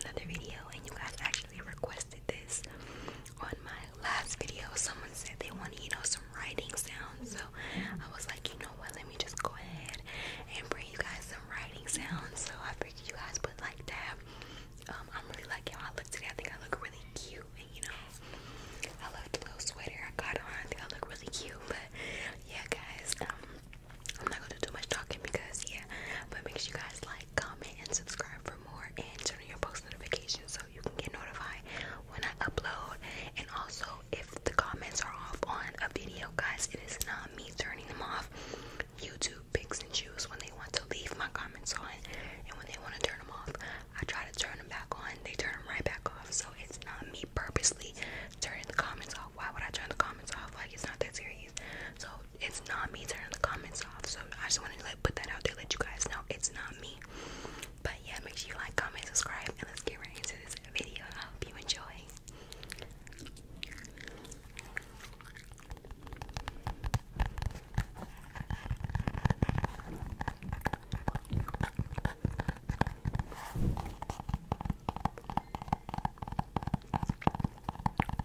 another video and you guys actually requested this on my last video. Someone said they want, you know, some writing sounds. So I was like, you know what, let me just go ahead and bring you guys some writing sounds. So I figured you guys would like that. Um, I'm really like how I look today. I think I look really cute and you know I love the little sweater I got on. I think I look really cute, but yeah guys, um, I'm not gonna do too much talking because yeah, but makes you guys like comment, and subscribe for more, and turn on your post notifications so you can get notified when I upload. And also, if the comments are off on a video, guys, it is not me turning them off. YouTube picks and chooses when they want to leave my comments on, and when they want to turn them off, I try to turn them back on. They turn them right back off, so it's not me purposely turning the comments off. Why would I turn the comments off? Like, it's not that serious. So it's not me turning the comments off. So I just wanted to like put that out there, let you guys know it's not me. But yeah, make sure you like, comment, subscribe, and let's get right into this video. I hope you enjoy.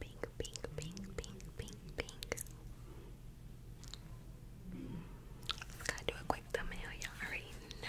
pink, pink, pink, pink, pink, pink. Gotta do a quick thumbnail, y'all already know.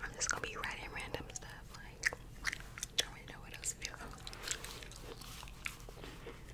I'm just gonna be writing random stuff, like, don't really know what else to do.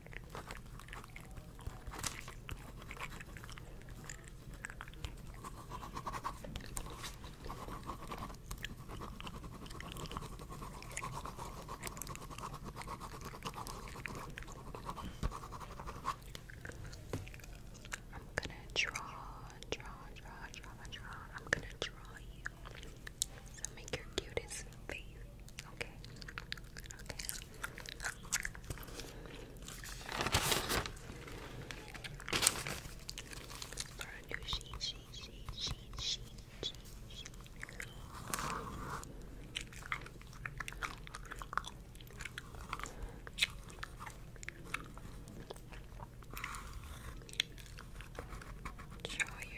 I'm gonna draw, draw, draw, draw, draw. I'm gonna draw you. So make your cutest face. Okay. Okay. For a new sheet, sheet, sheet, sheet, sheet, sheet, sheet. Show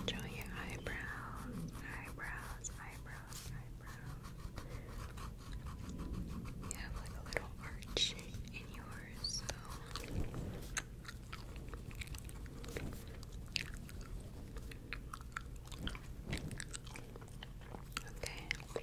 Enjoy your eyebrows, eyebrows, eyebrows, eyebrows. You have like a little arch in yours, Okay.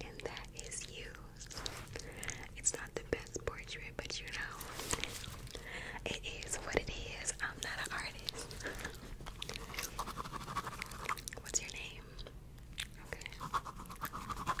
And that is you. It's not the best portrait, but you know, it is what it is. I'm not an artist. What's your name? Okay.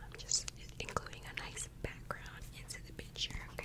I'm just including a nice background into the picture, okay?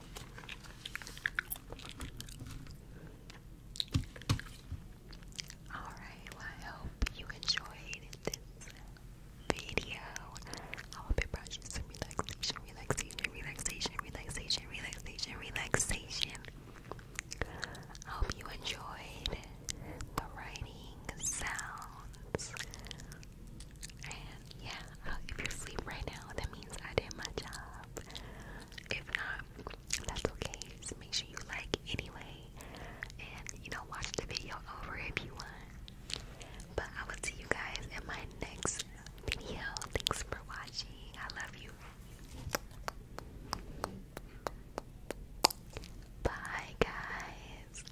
Alright, I hope you enjoyed this video. I hope it brought some relaxation, relaxation, relaxation, relaxation, relaxation, relaxation. I hope you enjoyed the writing sounds and yeah, if you're asleep right now, that means I did my job. If not, that's okay. make sure you like anyway. And you know, watch the video over if you want. But I will see you guys in my next video. Thanks for watching. I love you. Bye, guys.